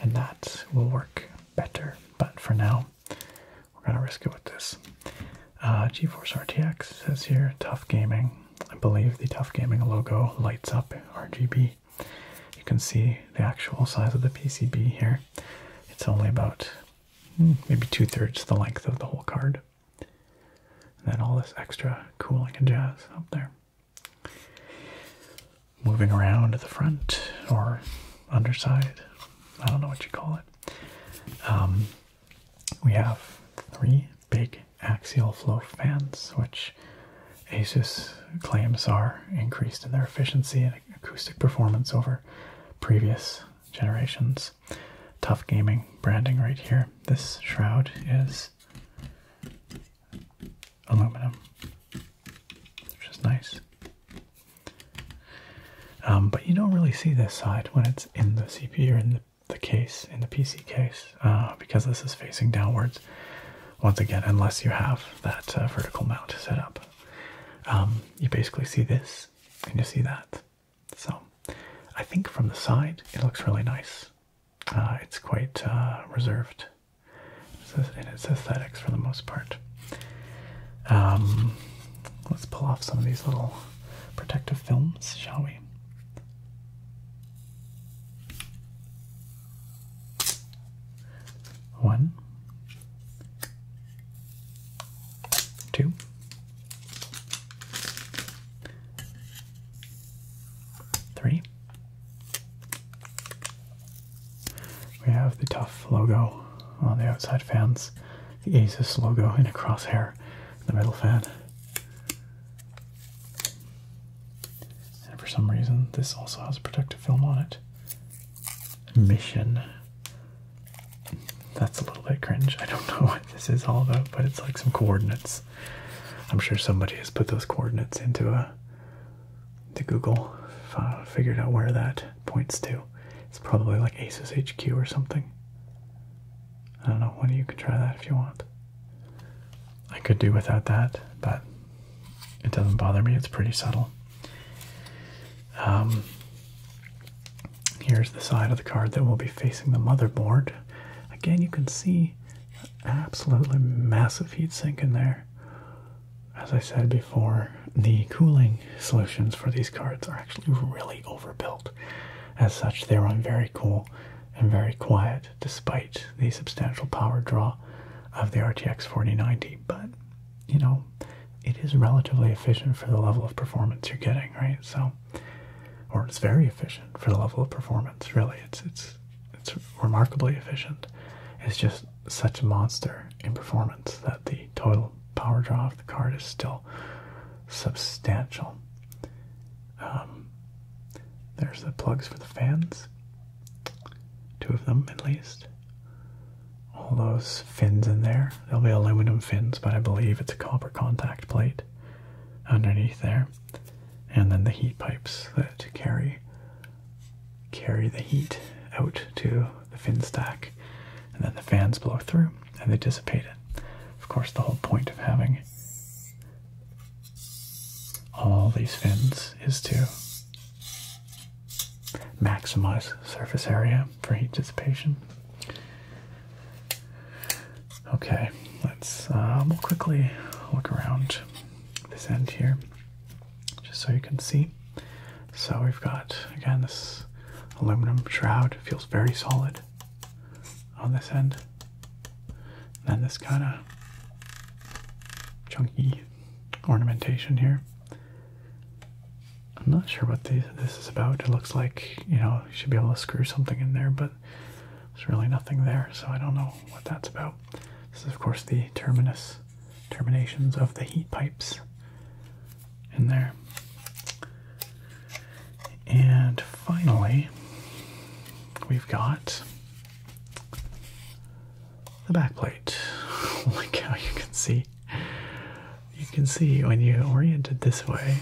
A: And that will work better, but for now, we're going to risk it with this. Uh, GeForce RTX says here, tough gaming. I believe the Tough Gaming logo lights up RGB. You can see the actual size of the PCB here. It's only about hmm, maybe two thirds the length of the whole card. And then all this extra cooling and jazz up there. Moving around at the front or underside, I don't know what you call it. Um, we have three big axial flow fans, which Asus claims are increased in their efficiency and acoustic performance over previous generations. Tough gaming branding right here. This shroud is aluminum, which is nice. Um, but you don't really see this side when it's in the CPU or in the the case in the PC case uh, because this is facing downwards once again unless you have that uh, vertical mount set up um, you basically see this and you see that so I think from the side it looks really nice uh, it's quite reserved in its aesthetics for the most part um, let's pull off some of these little protective films shall we one, two, three. We have the tough logo on the outside fans, the Asus logo in a crosshair in the middle fan. And for some reason, this also has a protective film on it. Mission. That's a little bit cringe. I don't *laughs* know what this is all about, but it's like some coordinates. I'm sure somebody has put those coordinates into a uh, to Google, figured out where that points to. It's probably like Aces HQ or something. I don't know. One of you can try that if you want. I could do without that, but it doesn't bother me. It's pretty subtle. Um, here's the side of the card that will be facing the motherboard. Again, you can see absolutely massive heat sink in there. As I said before, the cooling solutions for these cards are actually really overbuilt. As such, they run very cool and very quiet despite the substantial power draw of the RTX 4090. But, you know, it is relatively efficient for the level of performance you're getting, right? So, or it's very efficient for the level of performance, really. It's, it's, it's remarkably efficient. It's just such a monster in performance that the total power draw of the card is still substantial. Um, there's the plugs for the fans, two of them at least. All those fins in there, they'll be aluminum fins, but I believe it's a copper contact plate underneath there. And then the heat pipes that carry carry the heat out to the fin stack, and then the fans blow through and they dissipate it. Of course, the whole point of having all these fins is to maximize surface area for heat dissipation. Okay, let's uh, we'll quickly look around this end here, just so you can see. So we've got again this aluminum shroud. feels very solid on this end. Then this kind of chunky ornamentation here. I'm not sure what this is about. It looks like, you know, you should be able to screw something in there, but there's really nothing there, so I don't know what that's about. This is, of course, the terminus, terminations of the heat pipes in there. And finally, we've got the backplate. like *laughs* how you can see, you can see when you orient it this way,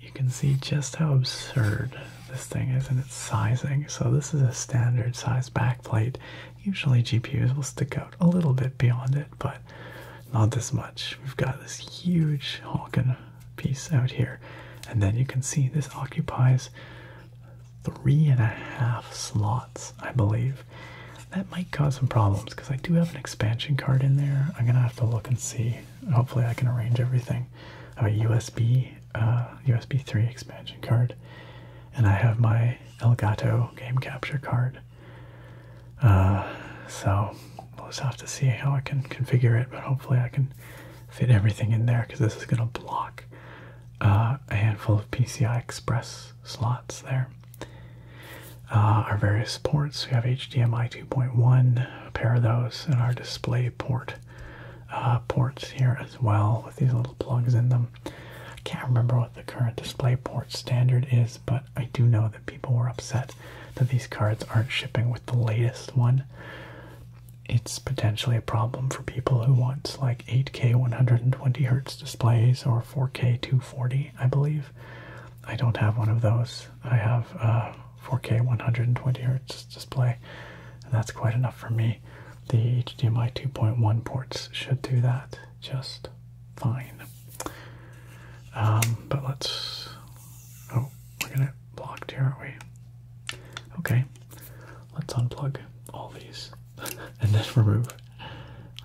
A: you can see just how absurd this thing is in its sizing. So this is a standard size backplate. Usually GPUs will stick out a little bit beyond it, but not this much. We've got this huge honking piece out here. And then you can see this occupies three and a half slots, I believe. That might cause some problems because I do have an expansion card in there. I'm gonna have to look and see. Hopefully, I can arrange everything. I have a USB, USB uh, 3 expansion card, and I have my Elgato game capture card. Uh, so we'll just have to see how I can configure it, but hopefully, I can fit everything in there because this is going to block uh, a handful of PCI Express slots there. Uh, our various ports, we have HDMI 2.1, a pair of those, and our display port uh, ports here as well with these little plugs in them. I can't remember what the current display port standard is, but I do know that people were upset that these cards aren't shipping with the latest one it's potentially a problem for people who want like 8K 120 hertz displays or 4K 240, I believe. I don't have one of those. I have a 4K 120 hertz display, and that's quite enough for me. The HDMI 2.1 ports should do that just fine. Um, but let's. Oh, we're gonna block here, aren't we? Okay, let's unplug all these *laughs* and then remove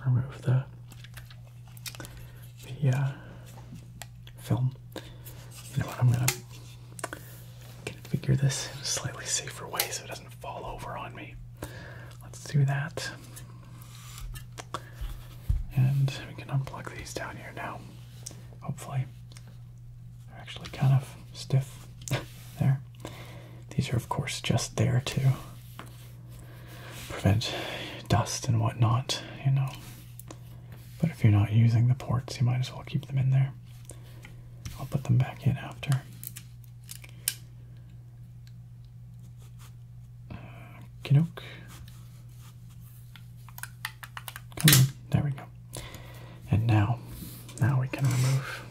A: remove the the film. You know what? I'm gonna configure this in a slightly safer way so it doesn't fall over on me. Let's do that. And we can unplug these down here now hopefully. They're actually kind of stiff *laughs* there. These are, of course, just there to prevent dust and whatnot, you know. But if you're not using the ports, you might as well keep them in there. I'll put them back in after. Uh, Kinook there we go. And now, now we can remove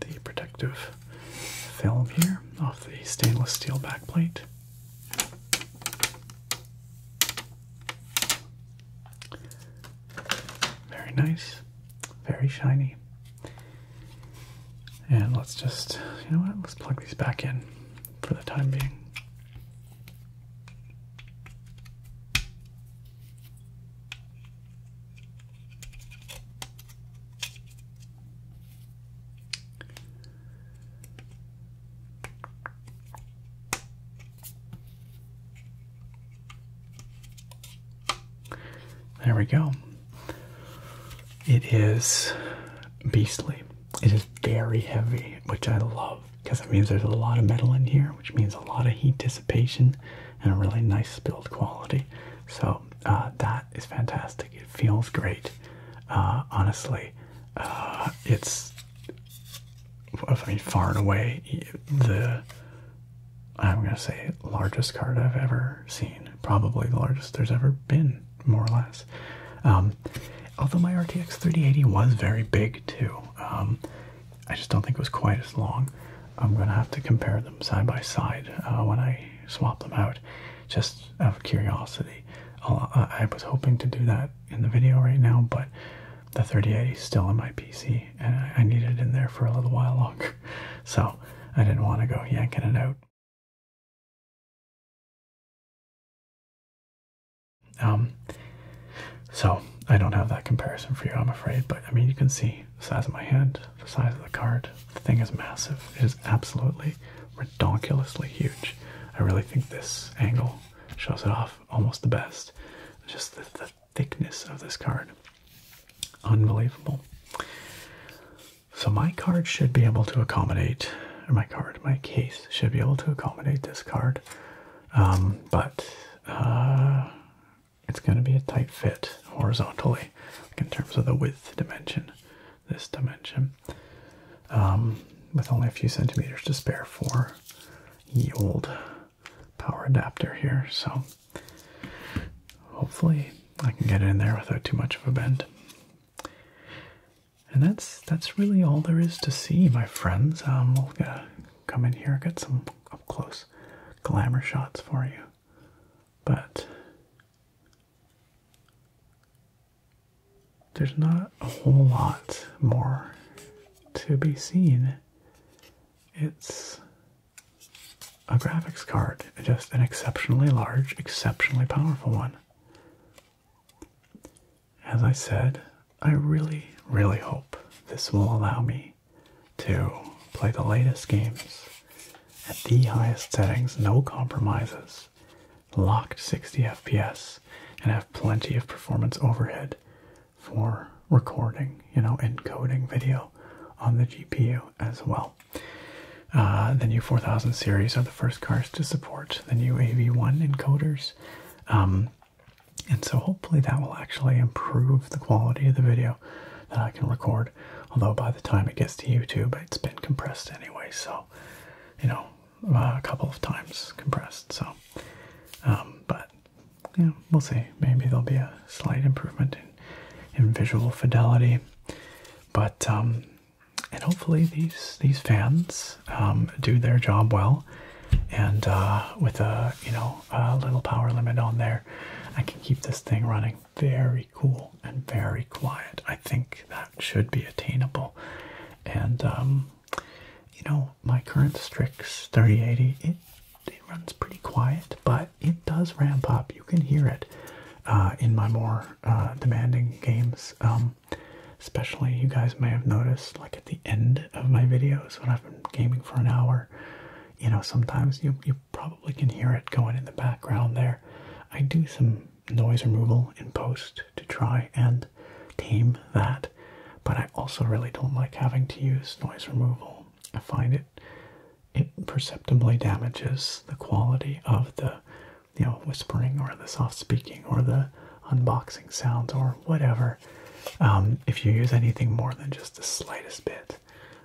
A: the protective film here off the stainless steel backplate. Very nice, very shiny. And let's just, you know what, let's plug these back in for the time being. There we go. It is beastly. It is very heavy, which I love because it means there's a lot of metal in here, which means a lot of heat dissipation and a really nice build quality. So uh, that is fantastic. It feels great. Uh, honestly, uh, it's I mean far and away the I'm gonna say largest card I've ever seen. Probably the largest there's ever been, more or less. Um, although my RTX 3080 was very big too. Um, I just don't think it was quite as long. I'm going to have to compare them side by side uh, when I swap them out, just out of curiosity. i was hoping to do that in the video right now, but the 3080 is still in my PC, and I, I need it in there for a little while longer, *laughs* so I didn't want to go yanking it out. Um, so I don't have that comparison for you, I'm afraid. But I mean, you can see the size of my hand, the size of the card. The thing is massive. It is absolutely redonkulously huge. I really think this angle shows it off almost the best. Just the, thickness of this card. Unbelievable. So my card should be able to accommodate, or my card, my case should be able to accommodate this card. Um, but uh, it's going to be a tight fit horizontally, in terms of the width dimension, this dimension, um, with only a few centimeters to spare for the old power adapter here. So hopefully I can get it in there without too much of a bend. And that's that's really all there is to see, my friends. Um, come in here, get some up close glamour shots for you. But there's not a whole lot more to be seen. It's a graphics card, just an exceptionally large, exceptionally powerful one. As I said, I really, really hope this will allow me to play the latest games at the highest settings, no compromises, locked 60 FPS, and have plenty of performance overhead for recording, you know, encoding video on the GPU as well. Uh, the new 4000 series are the first cars to support the new AV1 encoders. Um, and so hopefully that will actually improve the quality of the video that I can record. Although by the time it gets to YouTube, it's been compressed anyway. So, you know, uh, a couple of times compressed. So, um, but yeah, we'll see. Maybe there'll be a slight improvement in, visual fidelity. But, um, and hopefully these, these fans um, do their job well and uh, with a you know a little power limit on there, I can keep this thing running very cool and very quiet. I think that should be attainable, and um, you know my current Strix 3080 it it runs pretty quiet, but it does ramp up. You can hear it uh, in my more uh, demanding games. Um, especially you guys may have noticed like at the end of my videos when I've been gaming for an hour you know, sometimes you, you probably can hear it going in the background there. I do some noise removal in post to try and tame that, but I also really don't like having to use noise removal. I find it it perceptibly damages the quality of the you know whispering or the soft speaking or the unboxing sounds or whatever um, if you use anything more than just the slightest bit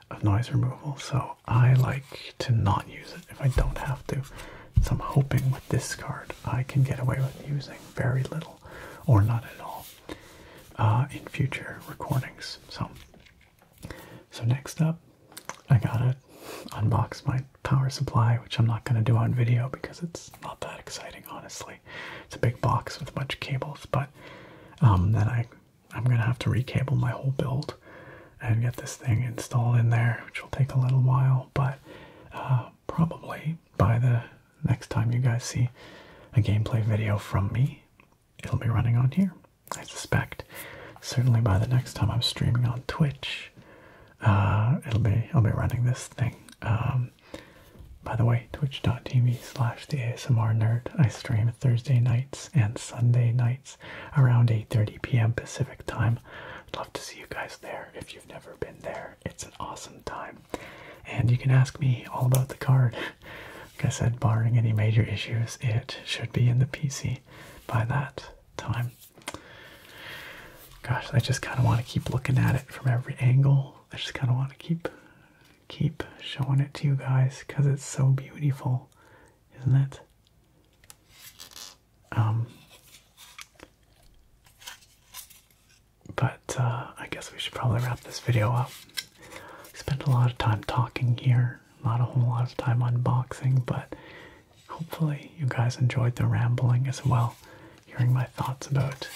A: of noise removal, so I like to not use it if I don't have to. So I'm hoping with this card I can get away with using very little or not at all uh, in future recordings. So, so next up, I gotta unbox my power supply, which I'm not gonna do on video because it's not that exciting, honestly. It's a big box with a bunch of cables, but um, then I, I'm gonna have to recable my whole build and get this thing installed in there, which will take a little while, but uh, probably by the next time you guys see a gameplay video from me, it'll be running on here, I suspect. Certainly by the next time I'm streaming on Twitch, uh, it'll be I'll be running this thing. Um, um, by the way, twitch.tv slash the ASMR nerd. I stream Thursday nights and Sunday nights around 8.30 p.m. Pacific time. love to see you guys there if you've never been there. It's an awesome time. And you can ask me all about the card. Like I said, barring any major issues, it should be in the PC by that time. Gosh, I just kind of want to keep looking at it from every angle. I just kind of want to keep keep showing it to you guys because it's so beautiful, isn't it? Um, but uh, I guess we should probably wrap this video up. Spent a lot of time talking here, not a whole lot of time unboxing, but hopefully you guys enjoyed the rambling as well, hearing my thoughts about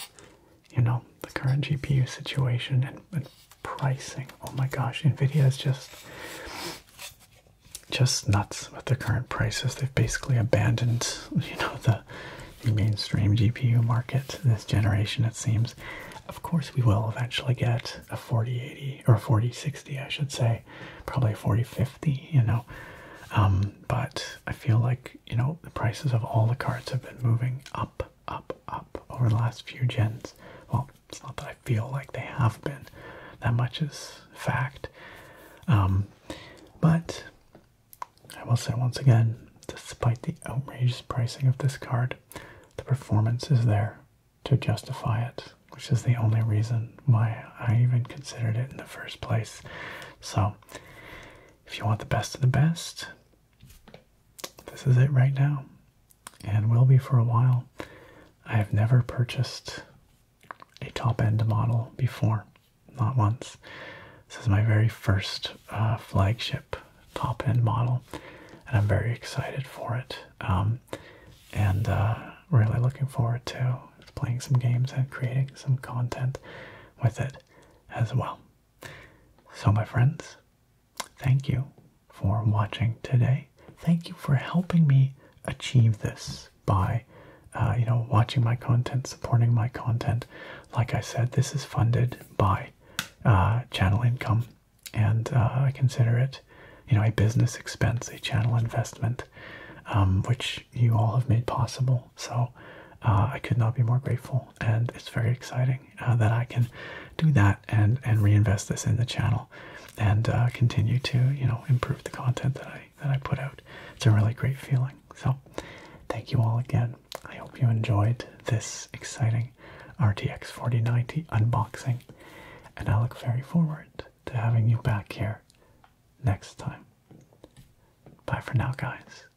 A: you know, the current GPU situation and, pricing. Oh my gosh, NVIDIA is just just nuts with the current prices. They've basically abandoned, *laughs* you know, the, mainstream GPU market this generation, it seems. Of course, we will eventually get a 4080 or 4060, I should say, probably 4050, you know. Um, but I feel like, you know, the prices of all the cards have been moving up up, up, over the last few gens. Well, it's not that I feel like they have been. That much is fact. Um, but I will say once again, despite the outrageous pricing of this card, the performance is there to justify it, which is the only reason why I even considered it in the first place. So, if you want the best of the best, this is it right now, and will be for a while. I have never purchased a top end model before, not once. This is my very first uh, flagship top end model, and I'm very excited for it. Um, and uh, really looking forward to playing some games and creating some content with it as well. So, my friends, Thank you for watching today. Thank you for helping me achieve this by, uh, you know, watching my content, supporting my content. Like I said, this is funded by uh, channel income, and uh, I consider it, you know, a business expense, a channel investment, um, which you all have made possible. So I could not be more grateful, and it's very exciting. Uh, that I can do that and and reinvest this in the channel and uh, continue to you know improve the content that I that I put out. It's a really great feeling. So thank you all again. I hope you enjoyed this exciting RTX 4090 unboxing and I look very forward to having you back here next time. Bye for now guys.